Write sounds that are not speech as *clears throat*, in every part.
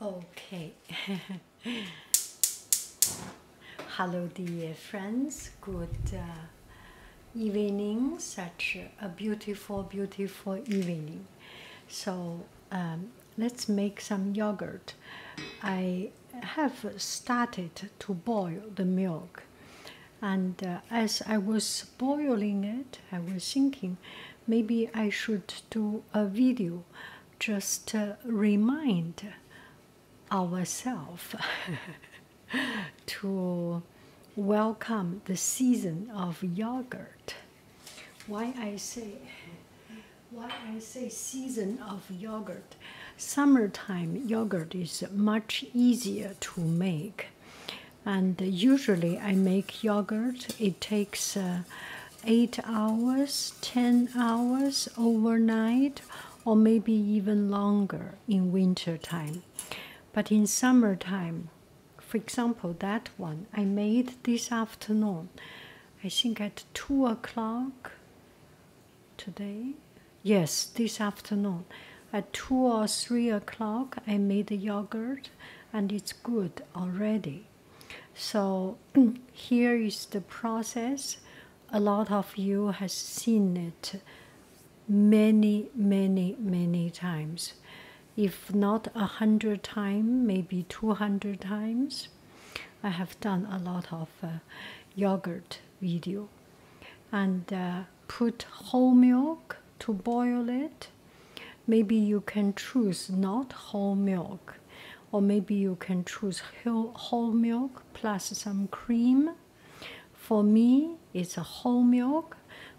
Okay. *laughs* Hello, dear friends. Good uh, evening. Such a beautiful, beautiful evening. So, um, let's make some yogurt. I have started to boil the milk, and uh, as I was boiling it, I was thinking maybe I should do a video just uh, remind ourselves *laughs* to welcome the season of yogurt. Why I say why I say season of yogurt. Summertime yogurt is much easier to make. And usually I make yogurt. It takes uh, 8 hours, 10 hours overnight, or maybe even longer in winter time. But in summertime, for example, that one I made this afternoon, I think at 2 o'clock today. Yes, this afternoon. At 2 or 3 o'clock, I made the yogurt and it's good already so *clears throat* here is the process a lot of you has seen it many many many times if not a hundred times maybe 200 times i have done a lot of uh, yogurt video and uh, put whole milk to boil it maybe you can choose not whole milk or maybe you can choose whole milk plus some cream for me it's a whole milk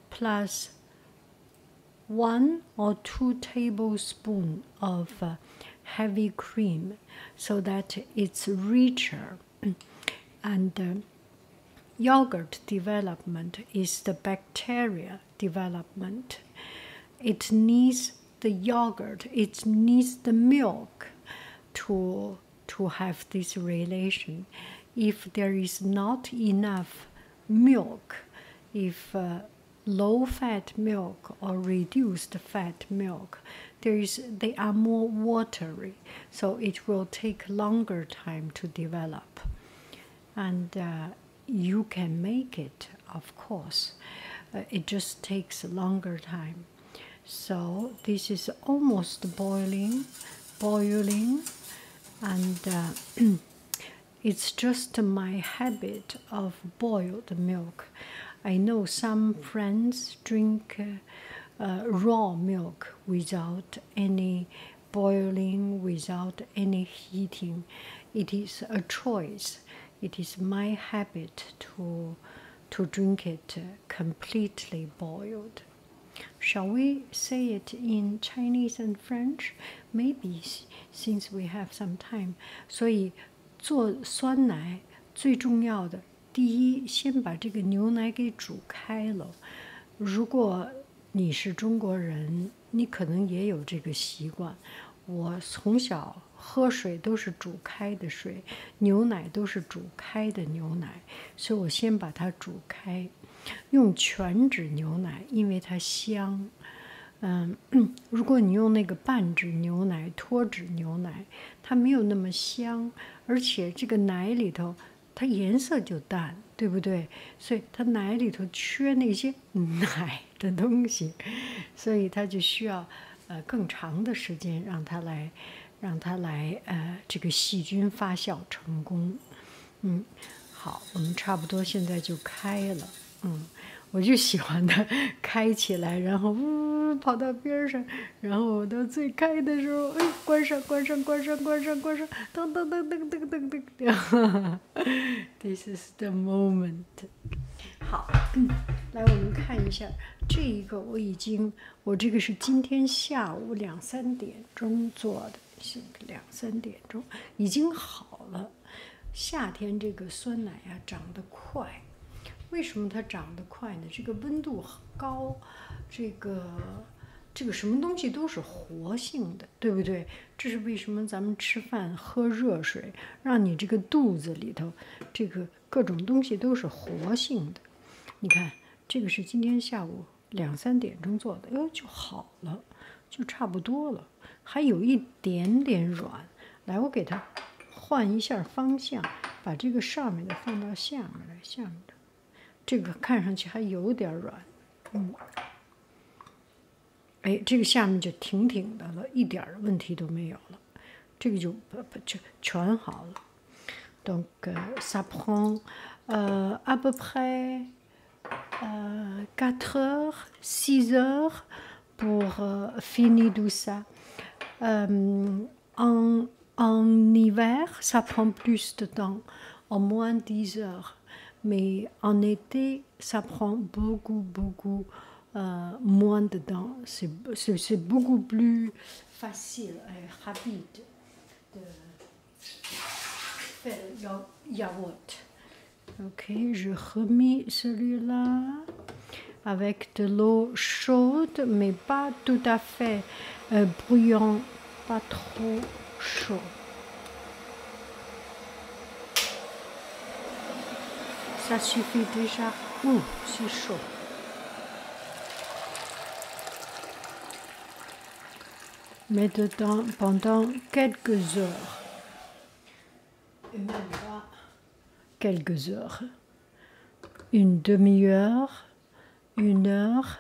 plus one or two tablespoons of uh, heavy cream so that it's richer and uh, yogurt development is the bacteria development. It needs the yogurt, it needs the milk to, to have this relation. If there is not enough milk, if uh, low fat milk or reduced fat milk, there is, they are more watery, so it will take longer time to develop. And uh, you can make it, of course. Uh, it just takes longer time. So this is almost boiling, boiling, and uh, *clears throat* it's just my habit of boiled milk. I know some friends drink uh, raw milk without any boiling, without any heating it is a choice. It is my habit to to drink it completely boiled. Shall we say it in Chinese and French? Maybe since we have some time. 所以做酸奶最重要的，第一，先把这个牛奶给煮开了。如果你是中国人，你可能也有这个习惯，我从小喝水都是煮开的水，牛奶都是煮开的牛奶，所以我先把它煮开，用全脂牛奶，因为它香。嗯，如果你用那个半脂牛奶、脱脂牛奶，它没有那么香，而且这个奶里头它颜色就淡，对不对？所以它奶里头缺那些。奶的东西，*laughs* 所以它就需要呃更长的时间让它来，让它来呃这个细菌发酵成功。嗯，好，我们差不多现在就开了。嗯，我就喜欢它开起来，然后呜呜呜跑到边上，然后我到最开的时候，哎，关上关上关上关上关上，噔噔噔噔噔噔噔噔。*laughs* *laughs* This is the moment。好，来，我们看一下这一个，我已经，我这个是今天下午两三点钟做的，是两三点钟，已经好了。夏天这个酸奶呀长得快，为什么它长得快呢？这个温度高，这个这个什么东西都是活性的，对不对？这是为什么？咱们吃饭喝热水，让你这个肚子里头，这个各种东西都是活性的。你看，这个是今天下午两三点钟做的，哟，就好了，就差不多了，还有一点点软。来，我给它换一下方向，把这个上面的放到下面来，下面的这个看上去还有点软，嗯。Et il n'y a de problème. C'est Donc, ça prend euh, à peu près 4 euh, heures, 6 heures pour euh, finir tout ça. En hiver, ça prend plus de temps, au moins 10 heures, mais en été, ça prend beaucoup, beaucoup euh, moins de temps. C'est beaucoup plus facile et rapide de faire yaourt. Ok, je remets celui-là avec de l'eau chaude, mais pas tout à fait euh, bruyant, pas trop chaud. Ça suffit déjà. Ouh, c'est chaud. Mais dedans pendant quelques heures. quelques heures. Une demi-heure, une heure.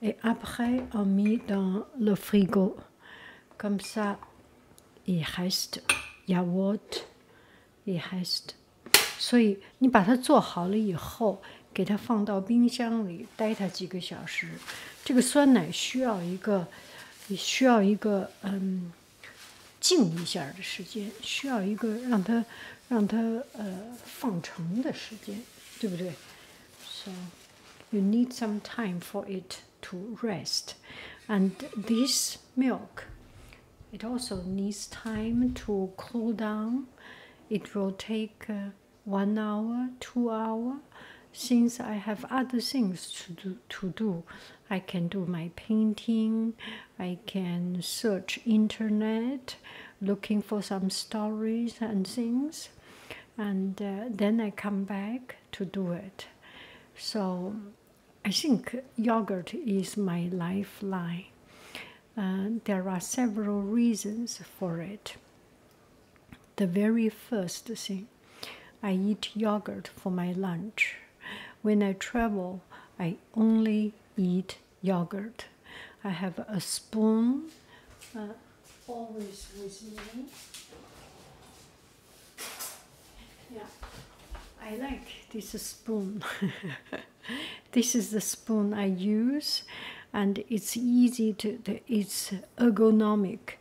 Et après, on met dans le frigo. c a m s a t h e s t ya wat ehest。所以你把它做好了以后，给它放到冰箱里，待它几个小时。这个酸奶需要一个，需要一个嗯，静一下的时间，需要一个让它让它呃放成的时间，对不对？So you need some time for it. to rest and this milk it also needs time to cool down it will take uh, one hour two hour since i have other things to do to do i can do my painting i can search internet looking for some stories and things and uh, then i come back to do it so I think yogurt is my lifeline. Uh, there are several reasons for it. The very first thing, I eat yogurt for my lunch. When I travel, I only eat yogurt. I have a spoon uh, always with me. Yeah, I like this spoon. *laughs* this is the spoon I use, and it's easy to. It's ergonomic,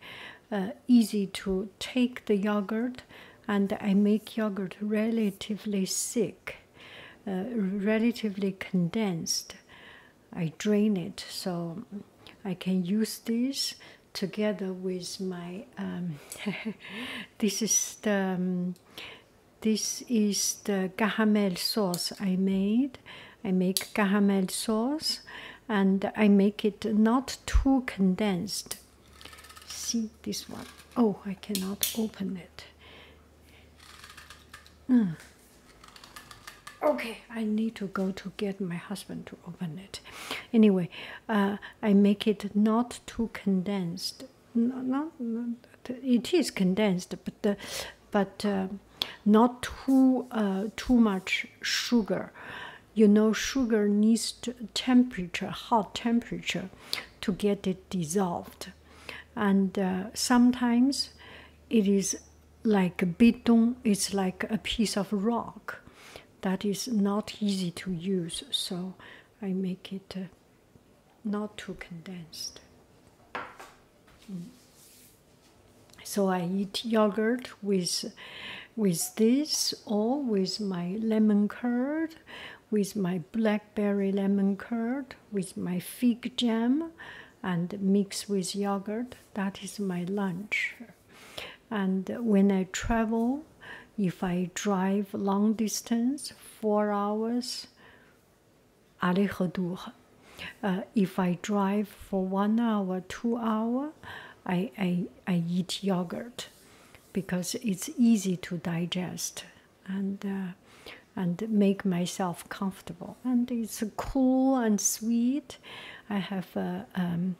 uh, easy to take the yogurt, and I make yogurt relatively thick, uh, relatively condensed. I drain it so I can use this together with my um, *laughs* this is the um, this is the gahamel sauce I made. I make gahamel sauce and I make it not too condensed. See this one. Oh, I cannot open it. Hmm. Okay, I need to go to get my husband open it. Anyway, uh, I make it not too condensed. Not, it is condensed, but uh, but uh, not too too much sugar. You know, sugar needs to temperature, hot temperature, to get it dissolved, and sometimes it is like a bidon. It's like a piece of rock that is not easy to use, so I make it uh, not too condensed. Mm. So I eat yogurt with with this or with my lemon curd, with my blackberry lemon curd, with my fig jam, and mix with yogurt. That is my lunch and when I travel, if I drive long distance, four hours, aller-retour. Uh, if I drive for one hour, two hour, I, I, I eat yogurt because it's easy to digest and uh, and make myself comfortable. And it's cool and sweet. I have um,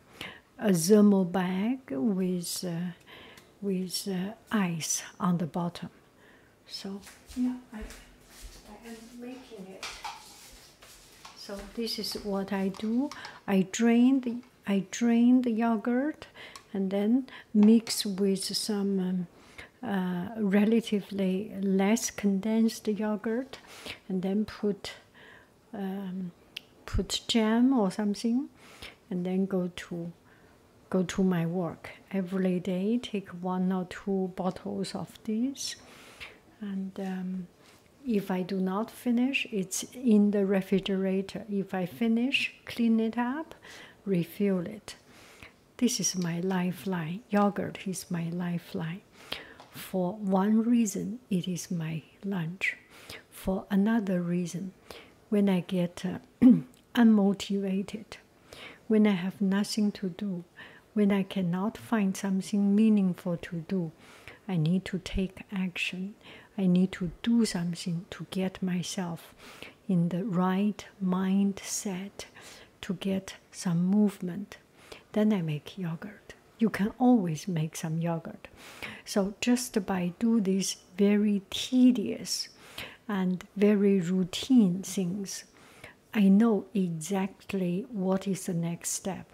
a thermal bag with uh, with uh, ice on the bottom. So yeah, I, I am making it. So this is what I do. I drain the I drain the yogurt, and then mix with some. Um, uh, relatively less condensed yogurt and then put um, put jam or something and then go to go to my work every day take one or two bottles of this and um, if i do not finish it's in the refrigerator if i finish clean it up refill it this is my lifeline yogurt is my lifeline for one reason it is my lunch for another reason. When I get uh, *clears throat* unmotivated, when I have nothing to do, when I cannot find something meaningful to do, I need to take action. I need to do something to get myself in the right mindset to get some movement. Then I make yogurt you can always make some yogurt. So just by do these very tedious and very routine things, I know exactly what is the next step.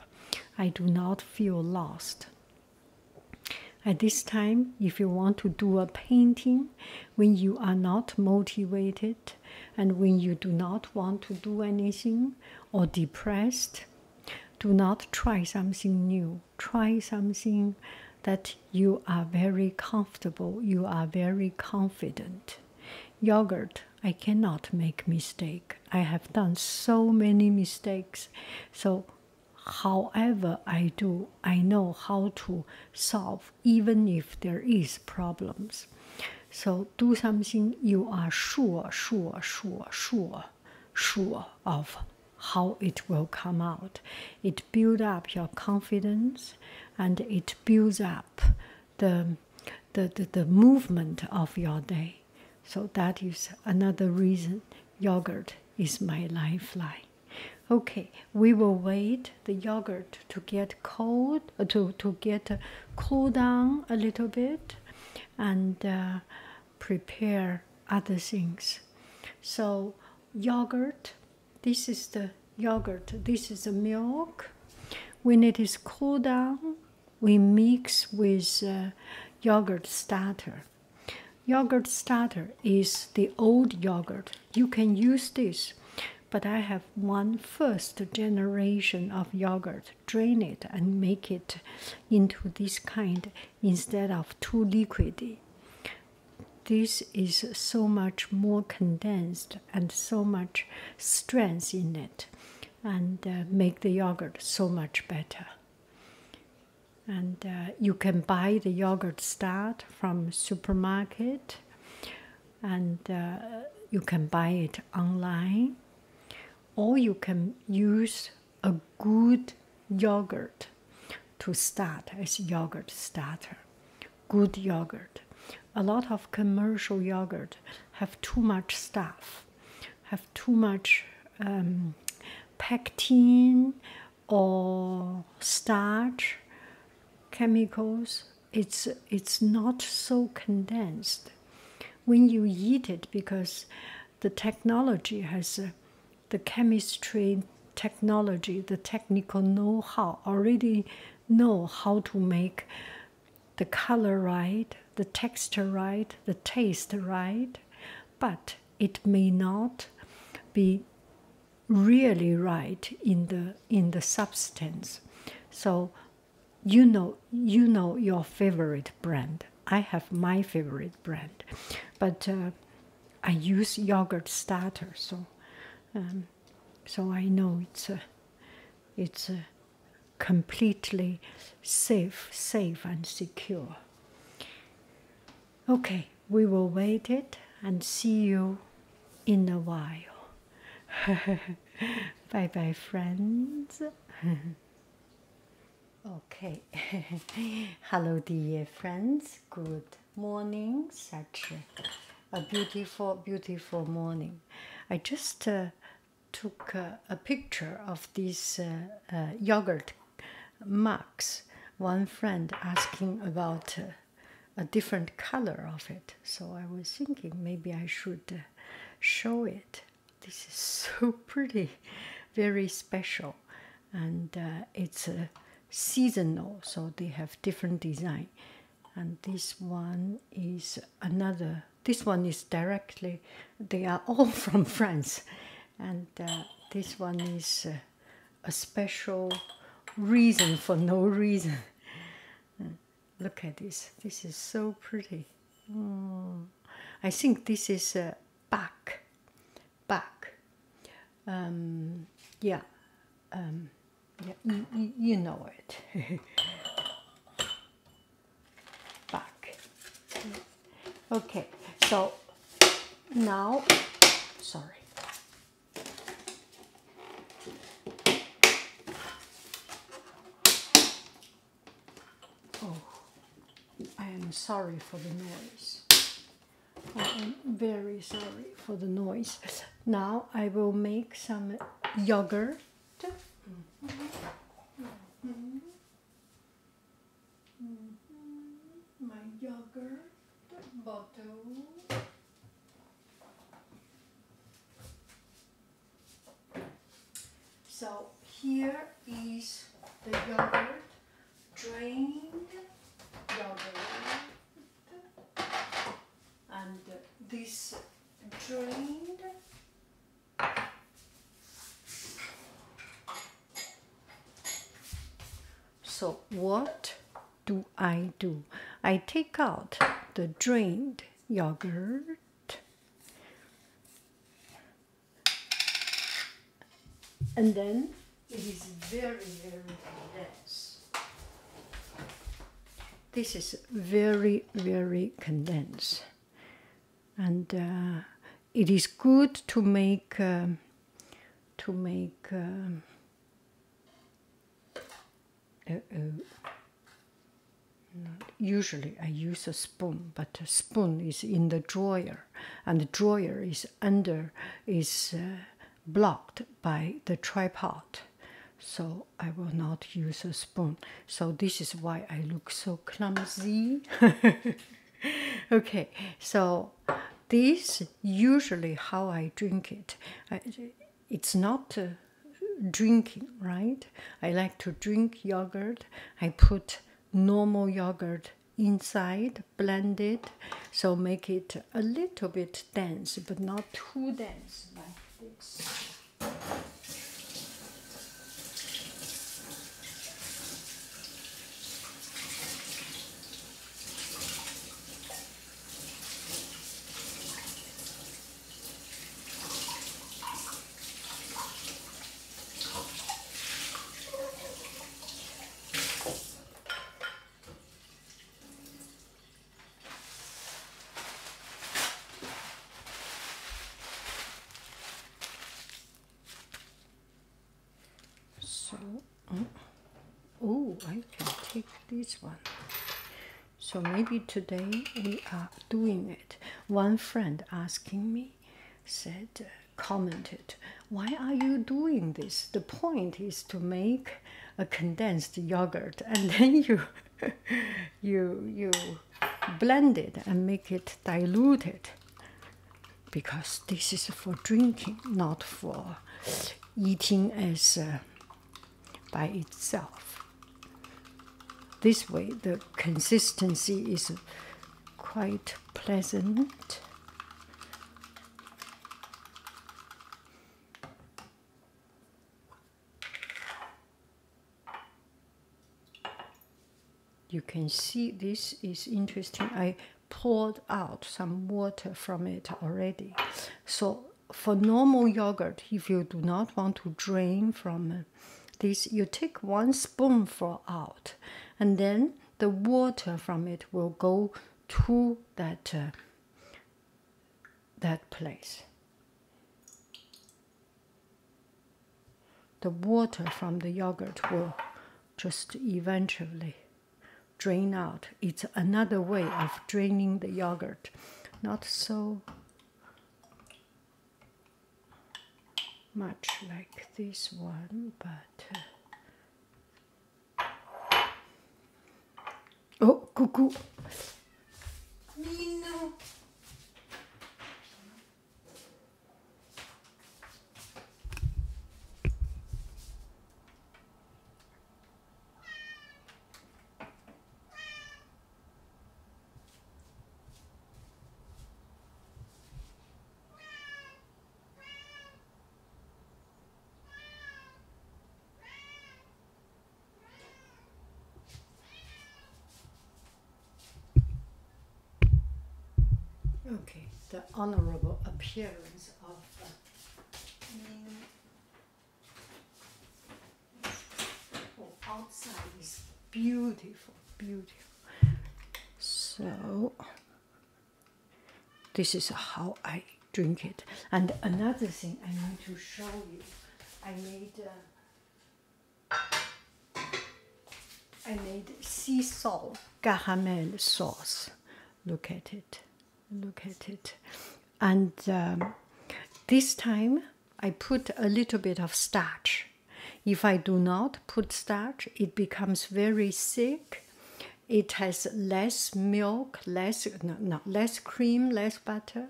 I do not feel lost. At this time, if you want to do a painting when you are not motivated and when you do not want to do anything or depressed, do not try something new try something that you are very comfortable, you are very confident. Yogurt, I cannot make mistake. I have done so many mistakes. So however I do, I know how to solve even if there is problems. So do something you are sure, sure, sure, sure, sure of how it will come out. It builds up your confidence and it builds up the, the, the, movement of your day. So that is another reason yogurt is my lifeline. Okay, we will wait the yogurt to get cold, to, to get cool down a little bit and uh, prepare other things. So, yogurt, this is the yogurt, this is the milk. When it is cooled down, we mix with uh, yogurt starter. Yogurt starter is the old yogurt. You can use this, but I have one first generation of yogurt. Drain it and make it into this kind instead of too liquidy. This is so much more condensed and so much strength in it, and uh, make the yogurt so much better. And uh, you can buy the yogurt start from supermarket, and uh, you can buy it online, or you can use a good yogurt to start as yogurt starter. Good yogurt. A lot of commercial yogurt have too much stuff, have too much um, pectin or starch chemicals. It's it's not so condensed when you eat it because the technology has uh, the chemistry technology, the technical know how, already know how to make the color right, the texture right, the taste right, but it may not be really right in the in the substance so you know you know your favorite brand I have my favorite brand, but uh, I use yogurt starter, so um, so I know it's a uh, it's a uh, completely safe, safe and secure. Okay, we will wait it and see you in a while. *laughs* bye bye, friends. *laughs* Okay, *laughs* hello, dear friends. Good morning. Such a, beautiful, beautiful morning. I just uh, took a picture of this uh, uh, yogurt mugs. One friend asking about a different color of it, so I was thinking maybe I should show it this is so *laughs* pretty, very special, and uh, it's a uh, seasonal, so they have different design. And this one is another. This one is directly. They are *laughs* all from France, and uh, this one is a special reason for no reason. *laughs* Look at this. This is so pretty. Hmm. I think this is a uh, back back. Um, yeah, um, yeah you, know it. *laughs* back. Okay, so now, sorry. Oh. I am sorry for the noise. I am very sorry for the noise. Now I will make some yogurt. My yogurt bottle. So here is the yogurt drained yogurt and this drained so what do I do? I take out the drained yogurt and then? It is very, very dense. This is very, very condensed. And uh, it is good to make, uh, to make, uh, usually I use a spoon but the spoon is in the drawer, and the drawer is under is uh, blocked by the tripod. So I will not use a spoon. So this is why I look so clumsy. *laughs* okay, so this usually how I drink it. it's not uh, drinking, right? I like to drink yogurt. I put normal yogurt inside blended so make it a little bit dense but not too dense so, oh, I can take this one. So maybe today we are doing it. One friend asking me said, commented, Why are you doing this? The point is to make a condensed yogurt and *laughs* then you you you blend it and make it diluted because this is for drinking not for eating as uh, by itself this way the consistency is quite pleasant. You can see this is interesting. I poured out some water from it already. So for normal yogurt, if you do not want to drain from this, you take one spoonful out and then the water from it will go to that uh, that place. The water from the yogurt will just eventually drain out. It's another way of draining the yogurt. Not so much like this one, but uh, oh, cuckoo! Okay, the honorable appearance of the uh, oh, outside is beautiful, beautiful. So this is how I drink it. And another thing I want to show you, I made uh, I made sea salt caramel sauce. Look at it, look at it, and um, this time I put a little bit of starch if I do not put starch, it becomes very thick. It has less milk, less no, less cream, less butter,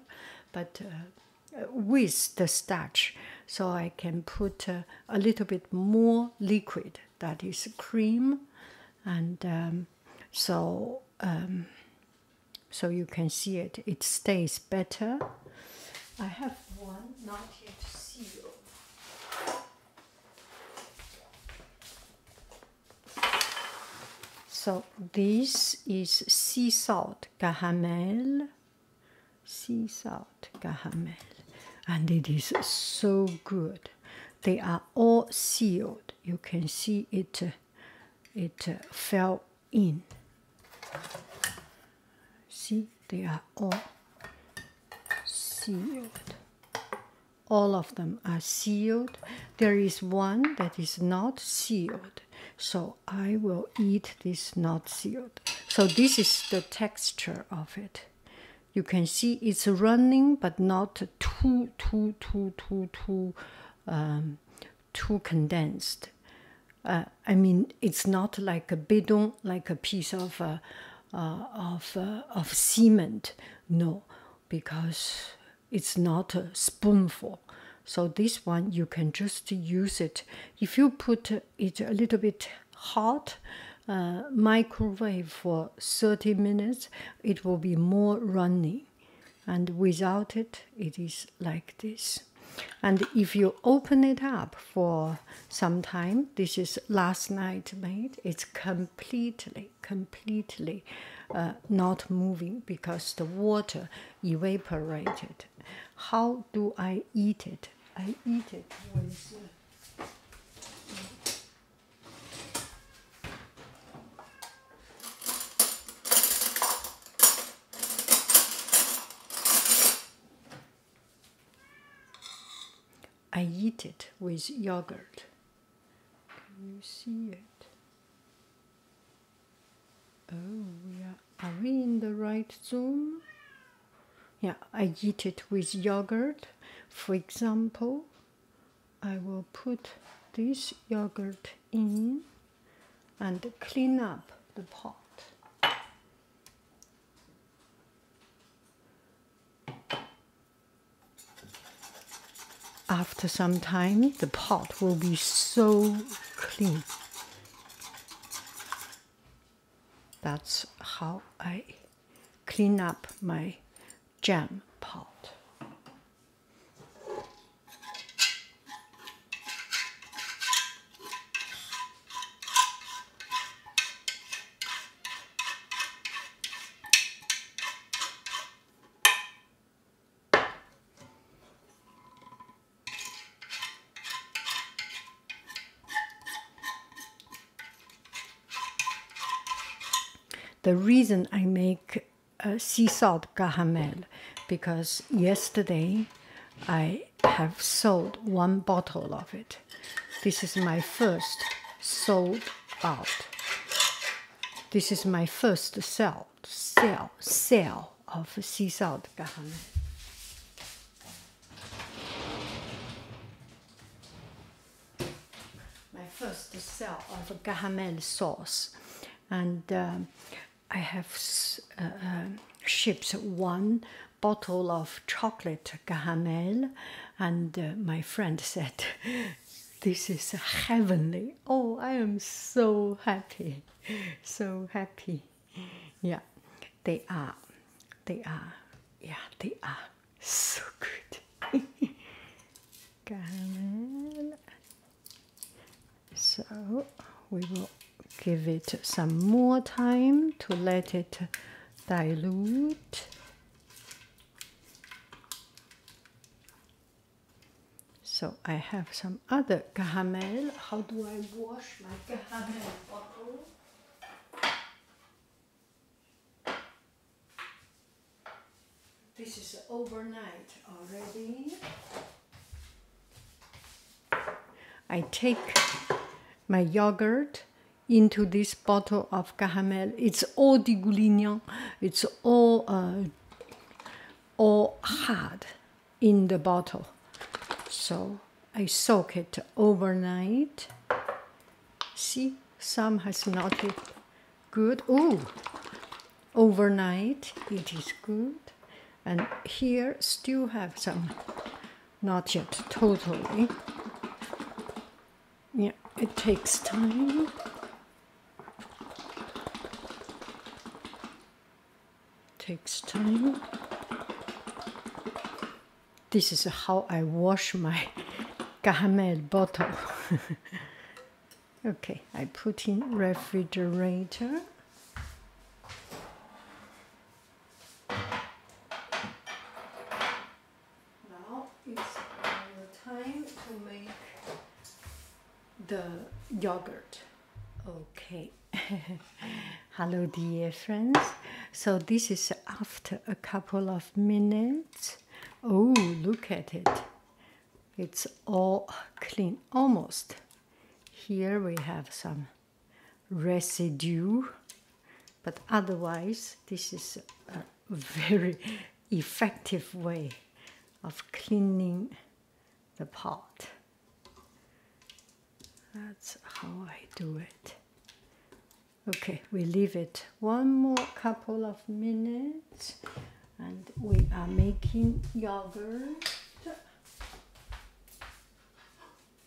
but uh, with the starch, so I can put uh, a little bit more liquid. That is cream, and um, so um, so you can see it. It stays better. I have one not yet sealed. So this is sea salt caramel, sea salt caramel, and it is so good. They are all sealed. You can see it. it fell in. See, they are all sealed all of them are sealed there is one that is not sealed so i will eat this not sealed so this is the texture of it you can see it's running but not too too too too too um, too condensed uh, i mean it's not like a bidon like a piece of uh, uh, of uh, of cement no because it's not a spoonful so this one you can just use it if you put it a little bit hot uh, microwave for 30 minutes it will be more runny and without it it is like this and if you open it up for of some time. This is last night made. It's completely, completely uh, not moving because the water evaporated. How do I eat it? I eat it uh, I eat it with yogurt. Can you see it? Oh, yeah. Are we in the right zoom? Yeah, I eat it with yogurt. For example, I will put this yogurt in and clean up the pot. After some time, the pot will be so clean. That's how I clean up my jam pot the reason I make sea salt caramel because yesterday I have sold one bottle of it this is my first sold out. This is my first sell, sell, sell of sea salt. My first sell of gahamel sauce, and um, I have uh, uh, shipped one bottle of chocolate caramel, and uh, my friend said, *laughs* This is heavenly. Oh, I am so happy, so happy. Yeah, they are, they are, yeah, they are so good. *laughs* caramel. So we will give it some more time to let it dilute so I have some other caramel. How do I wash my caramel bottle? This is overnight already. I take my yogurt into this bottle of caramel. It's all the Goulignan. It's all uh, all hard in the bottle. So I soak it overnight. See, some has not yet good. Oh, overnight it is good. And here still have some, not yet totally yeah, it takes time. Takes time. This is how I wash my *laughs* caramel bottle. *laughs* okay, I put in refrigerator. Now it's time to make the yogurt. Okay. *laughs* Hello dear friends. So this is after a couple of minutes. Oh, look at it. It's all clean, almost. Here we have some residue but otherwise, this is a very effective way of cleaning the pot. That's how I do it. Okay, we leave it one more couple of minutes and we are making yogurt.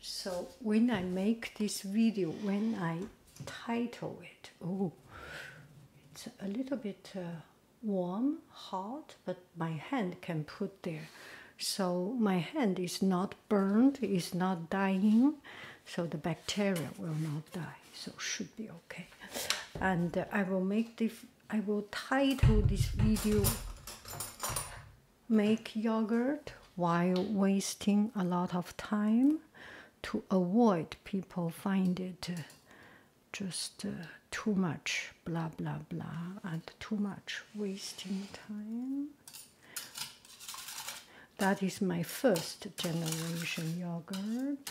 So when I make this video, when I title it, oh, it's a little bit uh, warm, hot, but my hand can put there. So my hand is not burned, is not dying, so the bacteria will not die. So should be okay. And uh, I will make this. I will title this video make yogurt while wasting a lot of time to avoid people find it just uh, too much blah blah blah and too much wasting time that is my first generation yogurt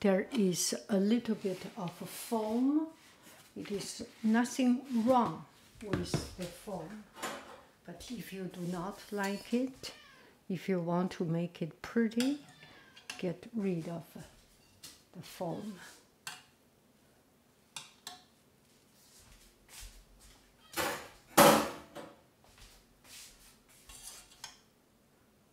There is a little bit of foam. It is nothing wrong with the foam. But if you do not like it, if you want to make it pretty, get rid of the foam.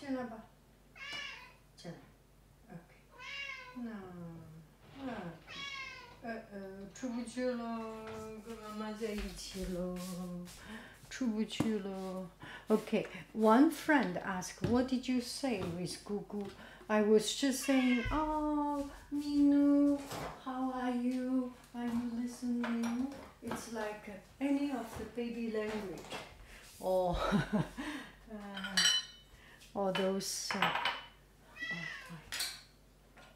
Turn over. Turn. Okay. No. Okay. Okay, one friend asked, What did you say with Gugu? I was just saying, Oh, Minu, how are you? Are you listening? It's like any of the baby language or oh. *laughs* uh, or oh, those uh, oh,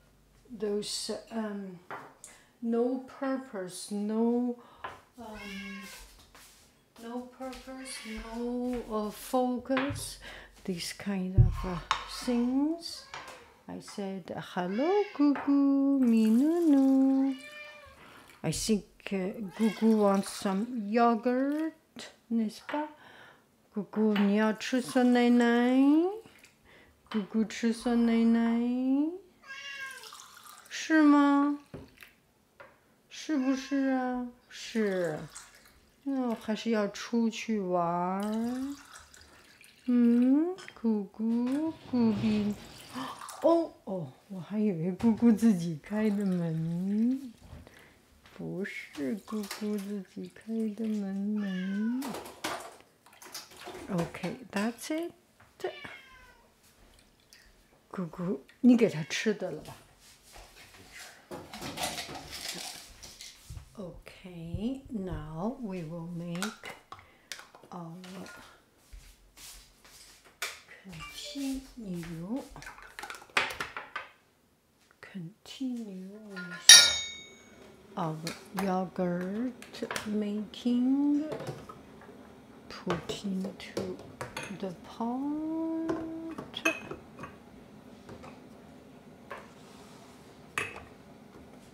those um, no purpose, no um, no purpose, no uh, focus, these kind of things. I said hello, Gugu, Minunu. I think uh, Gugu wants some yogurt, n'est-ce pas? Gugu nia chuso nai nai. Gugu chuso nai nai. 是吗？是不是啊？是。那我还是要出去玩儿。嗯，姑姑，姑比。哦哦。我还以为姑姑自己开的门，不是姑姑自己开的门门。OK，That's it. 姑姑，你给他吃的了吧？OK，now we will make our continue Continue. of yogurt making put into the pot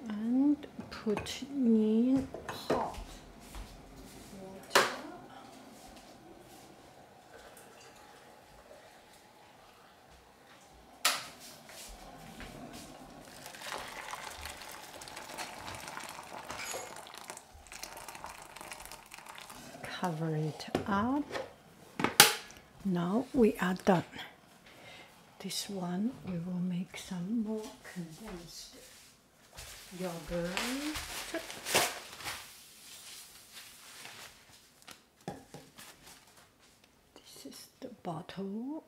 and put in hot Cover it up. Now we are done. This one we will make some more condensed yoghurt. This is the bottle.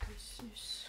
This is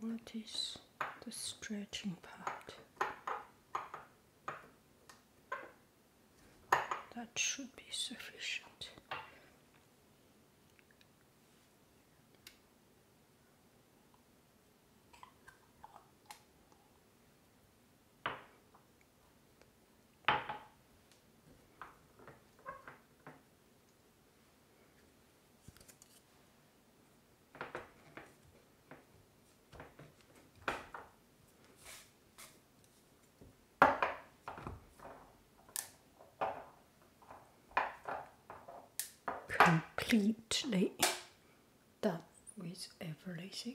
What is the stretching part? That should be sufficient completely done with everything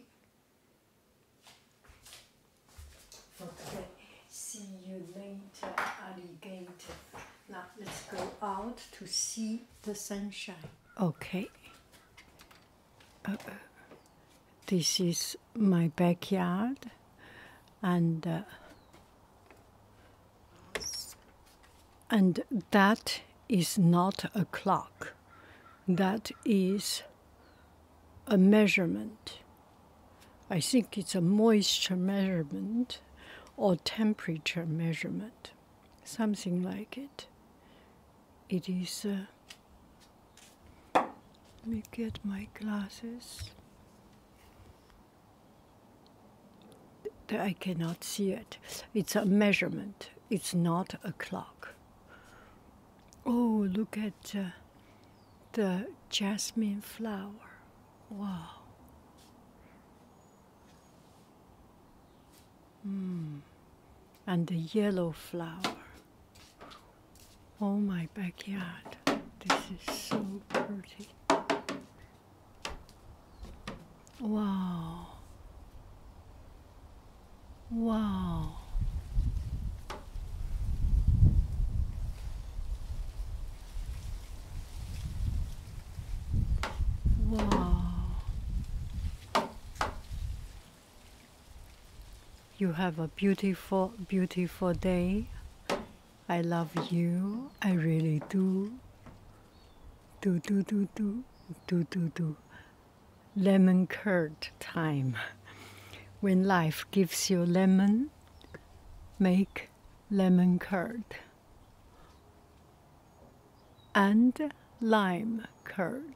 okay see you later alligator now let's go out to see the sunshine okay this is my backyard and uh, and that is not a clock that is a measurement i think it's a moisture measurement or temperature measurement something like it it is uh, let me get my glasses. I cannot see it. It's a measurement. It's not a clock. Oh, look at uh, the jasmine flower. Wow. Mm. And the yellow flower. Oh, my backyard. This is so pretty. Wow. Wow. Wow. You have a beautiful, beautiful day. I love you. I really do. Do, do, do, do, do, do, do. Lemon curd time. When life gives you lemon, make lemon curd and lime curd.